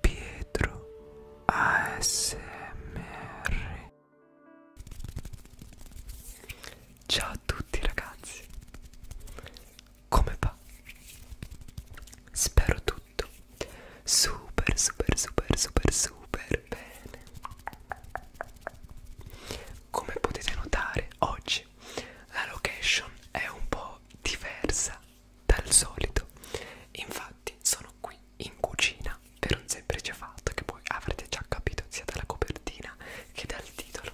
Pietro ASMR Ciao a tutti ragazzi Come va? Spero tutto super super super super super bene Come potete notare oggi la location è un po' diversa dal solito infatti sono qui in cucina per un semplice fatto che voi avrete già capito sia dalla copertina che dal titolo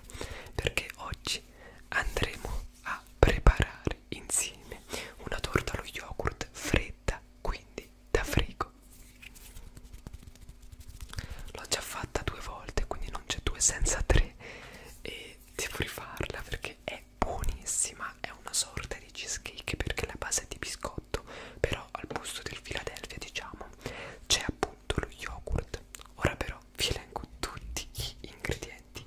perché oggi andremo a preparare insieme una torta allo yogurt fredda quindi da frigo l'ho già fatta due volte quindi non c'è due senza tre e devo rifarla perché è è buonissima, è una sorta di cheesecake perché la base è di biscotto, però al posto del Philadelphia diciamo c'è appunto lo yogurt. Ora però vi elenco tutti gli ingredienti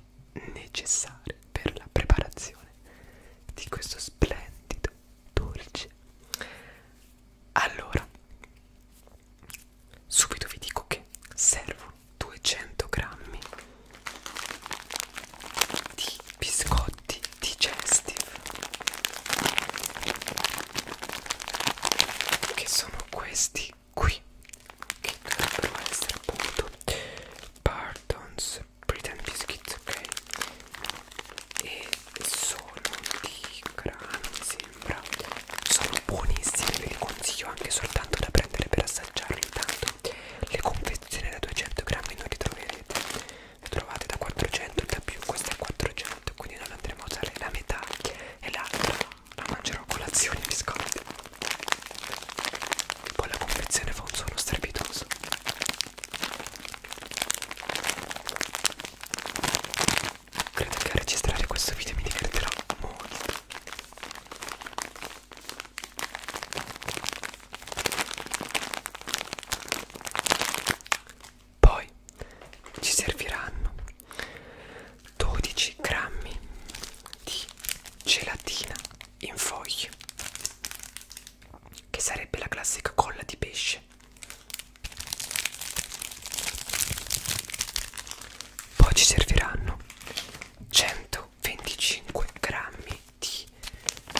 necessari per la preparazione di questo splendido dolce. Allora, subito vi dico che servono 200 grammi di biscotti digestive che sono questi qui che dovrebbero essere appunto Pardons Pretend Biscuits ok e sono di grano mi sembra sono buonissimi ve li consiglio anche soltanto da prendere per assaggiare assaggiarli intanto le confezioni da 200 grammi non li troverete le trovate da 400 da più questa è 400 quindi non andremo a usare la metà e l'altra la mangerò a colazione mi scordi poi la confezione fa un suono strepitoso Credo che a registrare questo video mi divertirò molto poi ci serviranno 12 grammi di gelatina in foglie, che sarebbe la classica colla di pesce. Poi ci serviranno 125 grammi di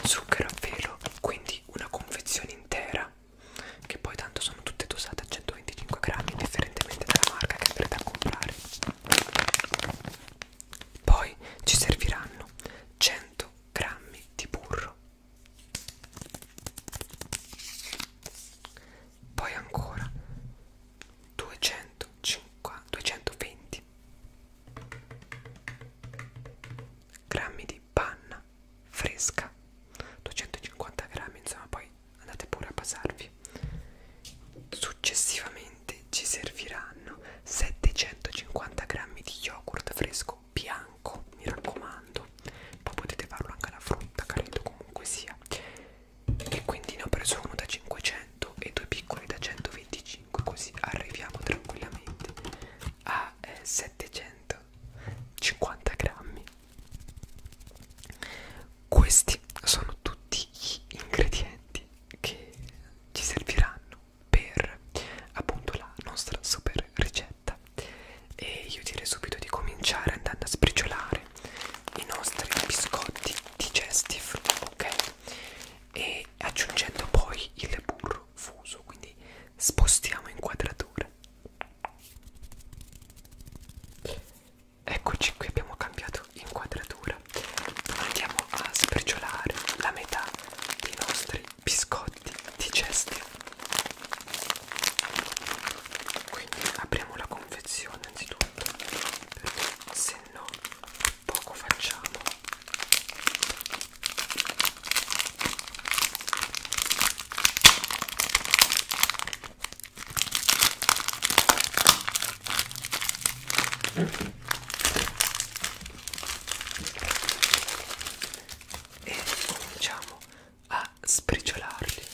zucchero a velo quindi una confezione intera che poi tanto sono tutte dosate a 125 grammi indifferentemente dalla marca che andrete a comprare poi ci serviranno 100 grammi di burro poi ancora 250, 220 grammi di panna fresca 250 grammi insomma poi andate pure a basarvi successivamente ci serviranno 750 grammi di yogurt fresco bianco mi raccomando poi potete farlo anche alla frutta credo comunque sia e quindi ne ho preso uno da 500 e due piccoli da 125 così arriviamo tranquillamente a eh, 750 grammi questi sono tutti gli ingredienti che ci serviranno per appunto la nostra super ricetta e io direi subito di cominciare andando a spriciolare i nostri biscotti digestive ok e aggiungendo poi il burro fuso quindi spostiamo inquadratura eccoci qui abbiamo cambiato inquadratura andiamo a sprigionare la metà dei nostri biscotti digestivi quindi apriamo la confezione anzitutto perché se no poco facciamo e cominciamo a spriciolarli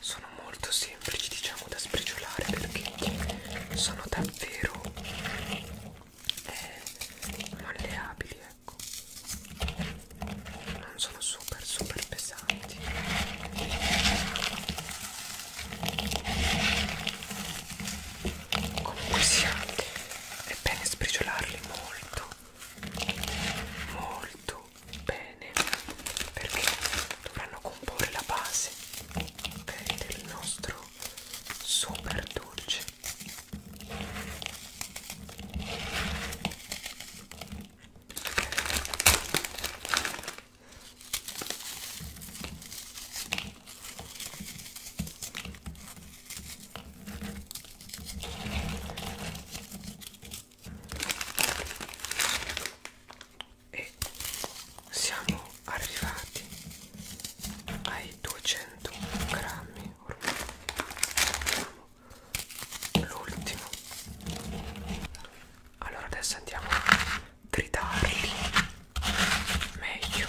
sono molto semplici diciamo da sprigionare perché sono davvero eh, malleabili ecco non sono super super pesanti come possiate è bene sbriciolarli molto molto bene perché dovranno comporre la base okay, del nostro super dolce e siamo arrivati ai 200 grammi ormai l'ultimo allora adesso andiamo a tritarli meglio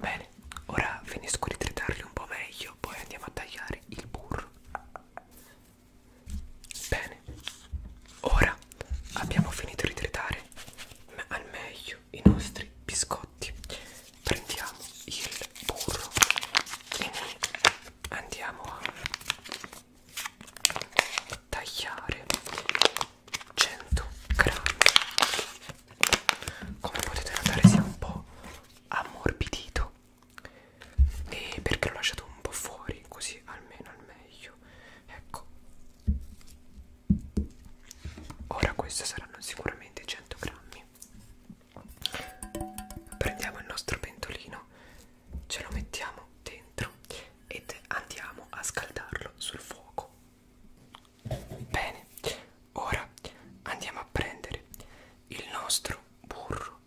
Bene, ora finisco di tritarli un po' meglio, poi andiamo a tagliare il burro. Bene, ora abbiamo finito di tritare al meglio i nostri biscotti. Prendiamo il burro e andiamo a tagliare 100 grammi. Come potete notare, si è un po' ammorbidito e perché l'ho lasciato un po' fuori, così almeno al meglio meglio ecco ora queste saranno sicuramente 100 grammi prendiamo il nostro pentolino ce lo mettiamo dentro ed andiamo a scaldarlo sul fuoco bene ora andiamo a prendere il nostro burro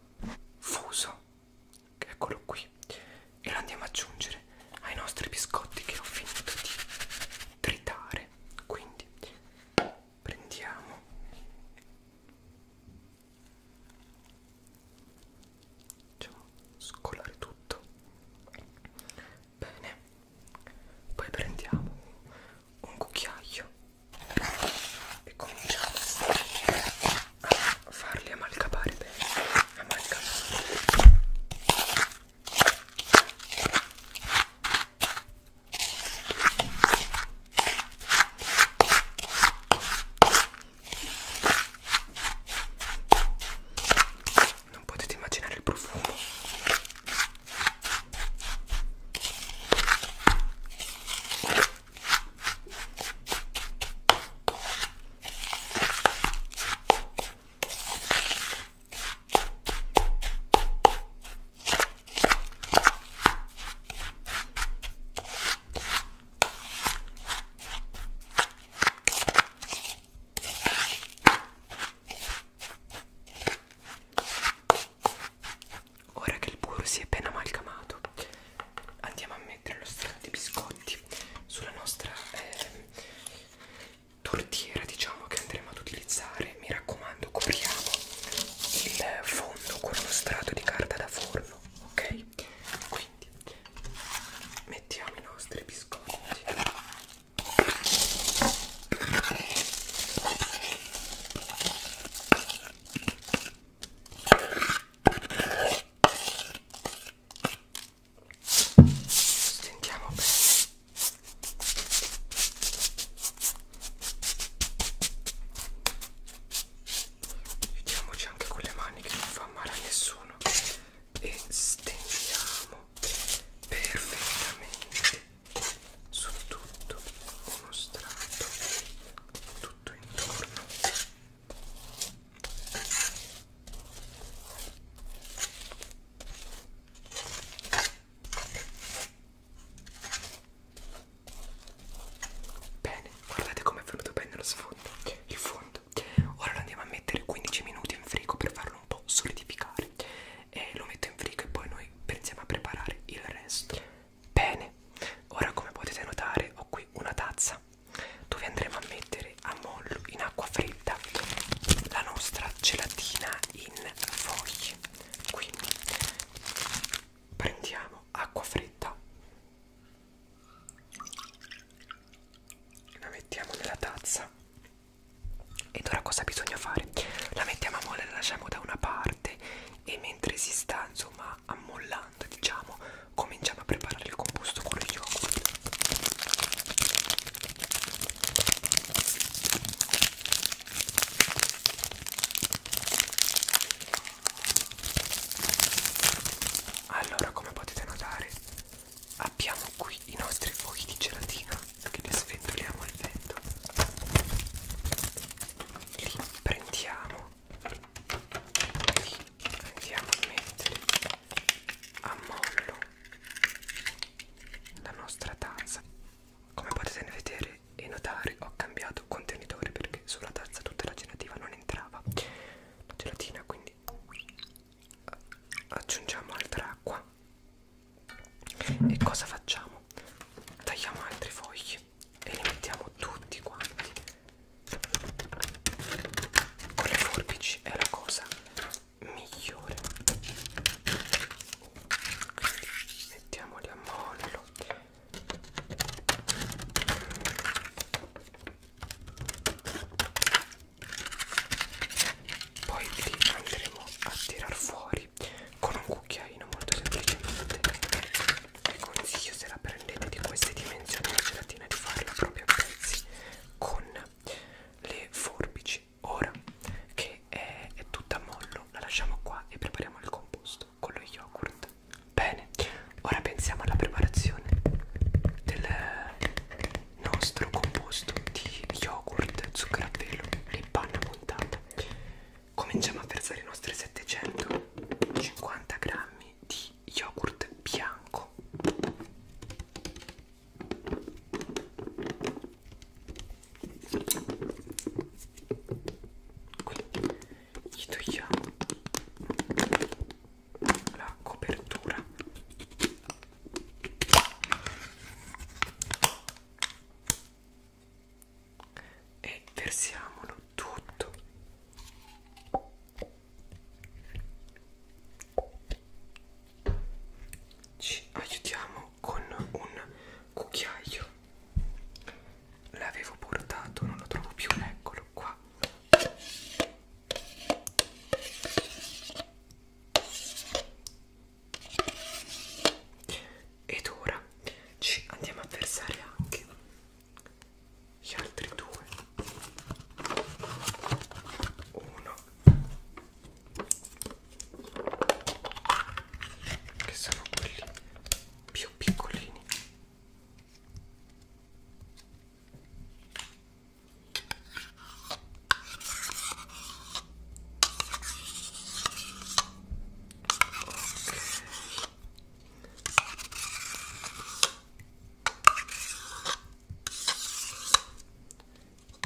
fuso eccolo qui e lo andiamo ad aggiungere ai nostri biscotti che ho finito di tritare quindi prendiamo facciamo scolare tutto bene poi prendiamo un cucchiaio e cominciamo a a farli amalcapare bene amalcapare non potete immaginare il profumo Ora che il burro si è ben amalgamato andiamo a mettere lo strato di biscotti sulla nostra eh, tortiera diciamo che andremo ad utilizzare mi raccomando copriamo il fondo con uno strato di carta da forno ok quindi mettiamo i nostri biscotti Stringiamo bene. Vediamoci anche con le mani che non fa male a nessuno. E stendiamo perfettamente su tutto uno strato tutto intorno Bene, guardate come è venuto bene lo sfondo, il fondo. Ora lo andiamo a mettere 15 minuti in frigo per farlo un po' solidificare. E lo metto in frigo e poi noi pensiamo a preparare il resto. Bene, ora come potete notare ho qui una tazza dove andremo a mettere a mollo in acqua fredda la nostra gelatina in foglie quindi prendiamo acqua fredda la mettiamo nella tazza ed ora cosa bisogna fare? La mettiamo a mole, la lasciamo da una parte e mentre si sta insomma sta ammollando diciamo cominciamo a preparare il composto con lo yogurt allora come potete notare abbiamo qui i nostri fuochi di gelatina che li sventoliamo al vento li prendiamo andiamo a mettere a mollo la nostra tazza come potete vedere e notare ho cambiato contenitore perché sulla tazza tutta la gelatina non entrava la gelatina quindi aggiungiamo altra acqua e cosa facciamo? Tagliamo altri fogli e li mettiamo tutti quanti con le forbici è la cosa migliore Quindi mettiamoli a mollo poi li andremo a tirar fuori con un cucchiaino molto semplicemente vi consiglio se la prendete di queste dimensioni la gelatina di farla proprio a pezzi con le forbici ora che è, è tutta a mollo la lasciamo qua e prepariamo il composto con lo yogurt bene ora pensiamo alla preparazione del nostro composto di yogurt zucchero a velo e panna montata cominciamo a versare i nostri 750 grammi di yogurt bianco quindi gli togliamo la copertura e versiamolo tutto ci aiutiamo con un cucchiaio l'avevo portato non lo trovo più eccolo qua ed ora ci andiamo a versare anche gli altri due uno che sono quelli più piccolini okay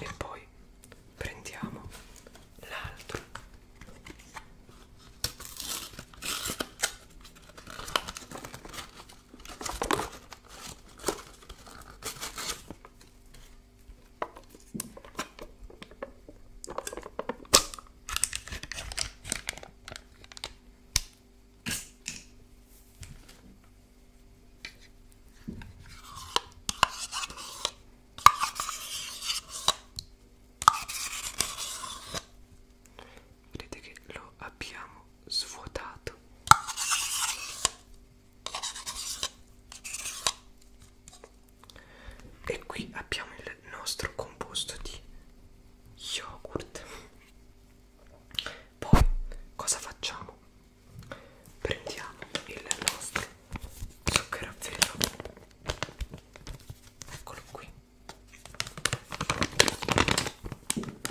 e poi prendiamo l'altro Vedete che lo abbiamo svuotato. E qui abbiamo il nostro composto di yogurt poi cosa facciamo prendiamo il nostro zucchero a velo eccolo qui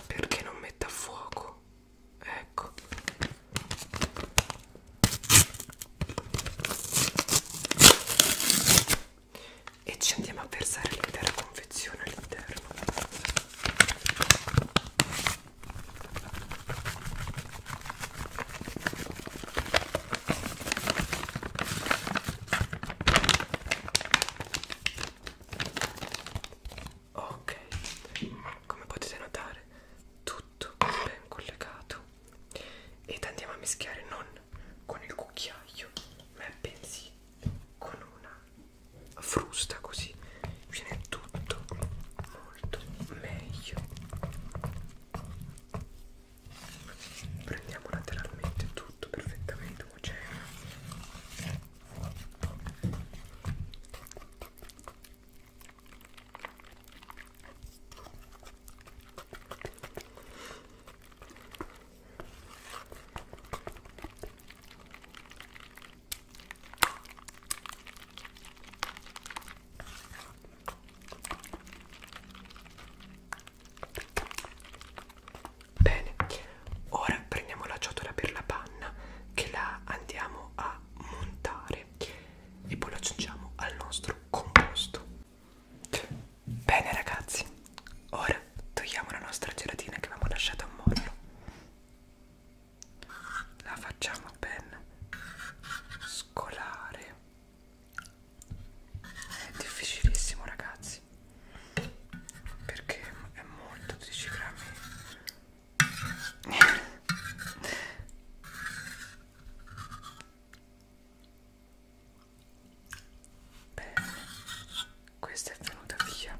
perché non metta a fuoco ecco e ci andiamo a versare l'intera confezione all'interno ok come potete notare tutto ben collegato ed andiamo a mischiare non con il cucchiaio, ma pensi con una frusta così viene tutto molto meglio. Prendiamo lateralmente tutto perfettamente omogeneo. Bene, ora prendiamo la ciotola per la panna che la andiamo a montare e poi lo aggiungiamo al nostro composto. Bene ragazzi, ora togliamo la nostra gelatina che avevamo lasciato a mollo. La facciamo ben scolare. È difficilissimo ragazzi, perché è molto 12 grammi bene questa è venuta via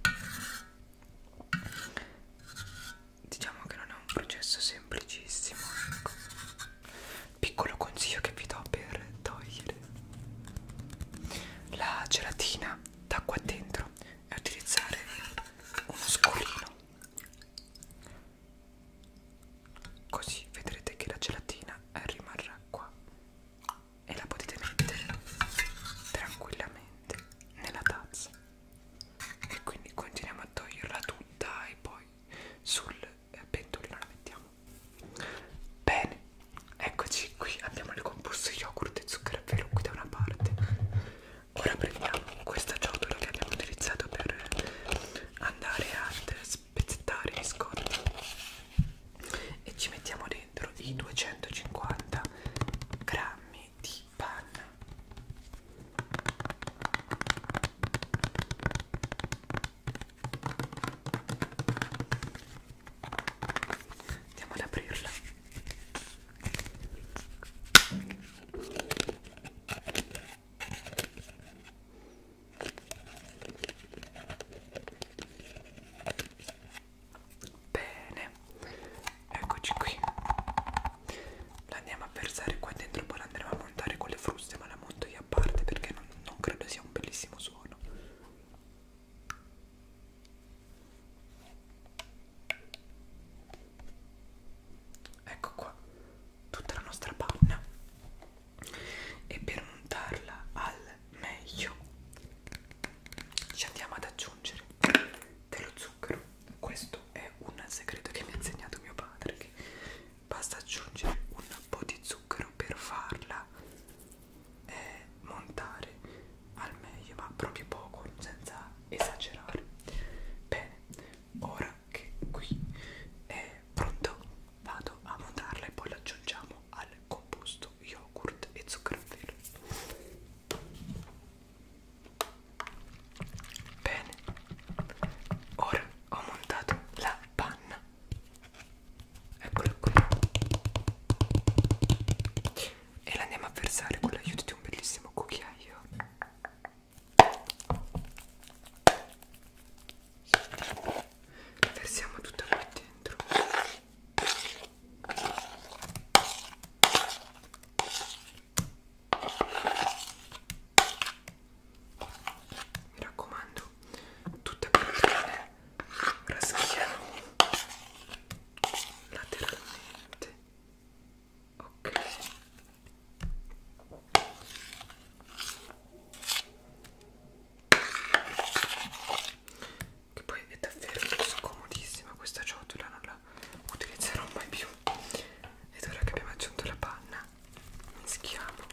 diciamo che non è un processo semplicissimo ecco. piccolo consiglio che vi do per togliere la gelatina da qua dentro è utilizzare uno scolino così vedrete che la gelatina eh, rimarrà qua e la potete mettere tranquillamente nella tazza e quindi continuiamo a toglierla tutta e poi sul eh, pentolino la mettiamo bene eccoci qui abbiamo il composto yogurt e zucchero a velo qui da una parte ora prendiamo questa ciotola che abbiamo utilizzato per andare a spezzettare i biscotti e ci mettiamo dentro i 250 grammi di panna andiamo ad aprirla Bene, eccoci qui. La andiamo a versare qua dentro, poi la andremo a montare con le fruste, ma la monto io a parte perché non, non credo sia un bellissimo suono. Ecco qua, tutta la nostra panna e per montarla al meglio ci andiamo ad aggiungere dello zucchero questo è un segreto che mi ha insegnato mio padre che basta aggiungere un po' di zucchero per farla eh, montare al meglio ma proprio poco senza esagerare bene ora anche qui è pronto vado a montarla e poi la aggiungiamo al composto yogurt e zucchero a velo bene ora ho montato la panna eccola qui e la andiamo a versare con l'aiuto di un bellissimo cucchiaio la versiamo tutta qua dentro. Mi raccomando, tutta bene raschiamo lateralmente. Ok che poi è davvero scomodissima questa ciotola non la utilizzerò mai più ed ora che abbiamo aggiunto la panna mischiamo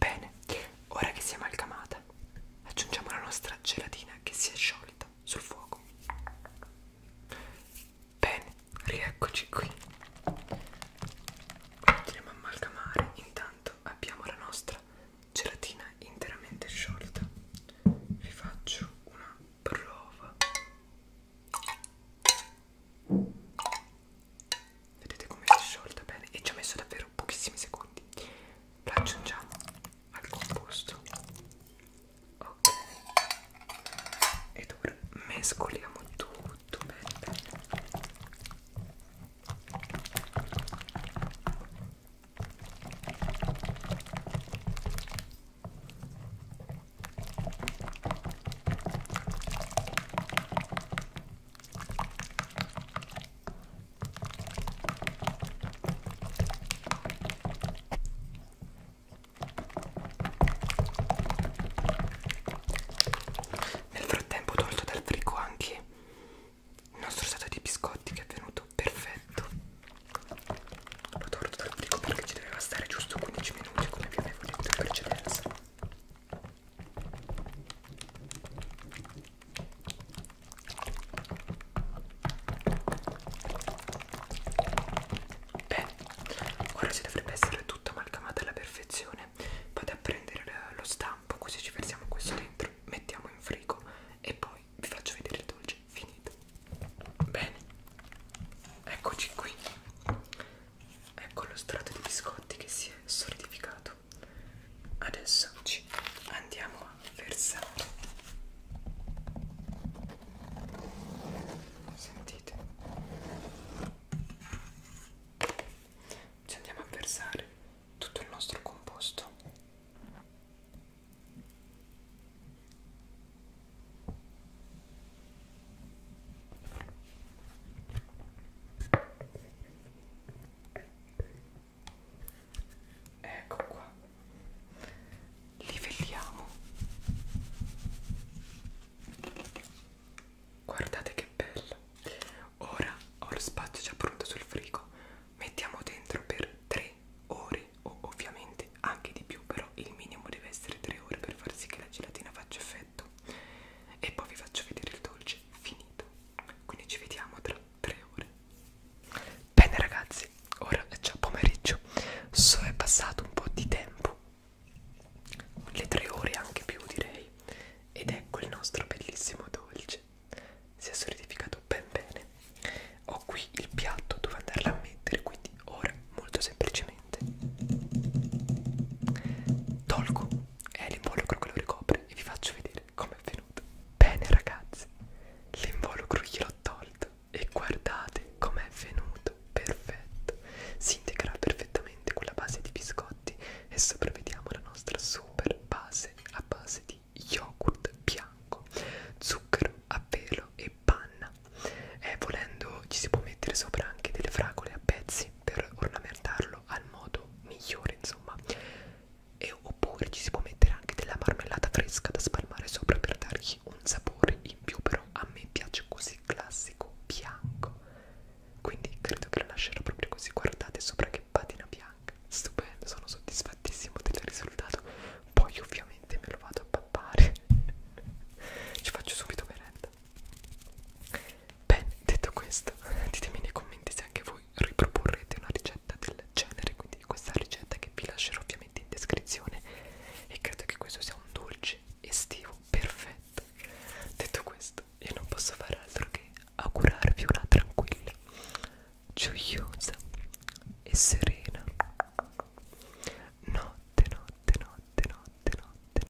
Bene, ora che si è amalgamata, aggiungiamo la nostra gelatina che si è sciolta sul fuoco. Bene, rieccoci qui. Continuiamo a amalgamare. Intanto abbiamo la nostra gelatina interamente sciolta. Vi faccio una prova. Vedete come si è sciolta bene e ci ha messo davvero pochissimi secondi. La aggiungiamo al composto. Ok. Ed ora mescoliamo tutto bene. Nel frattempo ho tolto dal frigo anche il nostro stato di biscotti che è venuto perfetto. L'ho tolto dal frigo perché ci doveva stare giusto 15 minuti come vi avevo detto in precedenza. Beh, ora ci dovrebbe essere tutta amalgamata alla perfezione. Vado a prendere lo stampo, così ci versiamo questo dentro, mettiamo in frigo e poi vi faccio vedere il dolce finito. Bene, eccoci qui. Ecco lo strato di biscotti che si è solidificato adesso ci andiamo a versare sentite ci andiamo a versare tutto il nostro composto ecco qua livelliamo guardate che bello ora ho lo spazio già pronto sul frigo mettiamo dentro per 3 ore o ovviamente anche di più però il minimo deve essere 3 ore per far sì che la gelatina faccia effetto e poi vi faccio vedere il dolce finito quindi ci vediamo tra tre ore bene ragazzi ora è già pomeriggio so è passato un po' di tempo le tre ore anche più direi ed ecco il nostro bellissimo dolce si è solidificato ben bene ho qui il piatto dove andarla a mettere quindi ora molto semplicemente tolgo è l'involucro che lo ricopre e vi faccio vedere com'è venuto. Bene ragazzi, l'involucro gliel'ho tolto e guardate com'è venuto, perfetto. Si integra perfettamente con la base di biscotti e sopra vediamo la nostra super base a base di yogurt bianco, zucchero a velo e panna. E eh, volendo ci si può mettere sopra anche delle fragole a pezzi anche per ornamentarlo al modo migliore insomma e oppure ci si può mettere anche della marmellata fresca da spalmare sopra per dargli un sapore in più però a me piace così classico bianco quindi credo che lo lascerò proprio così guardate sopra che patina bianca stupendo sono soddisfattissimo del risultato poi ovviamente me lo vado a pappare ci faccio subito merenda Bene, detto questo, ditemi nei commenti se anche voi riproporrete una ricetta del genere, quindi questa ricetta che vi lascerò ovviamente in descrizione e credo che questo sia un dolce estivo perfetto. Detto questo, io non posso fare altro che augurarvi una tranquilla, gioiosa e serena notte, notte, notte, notte, notte.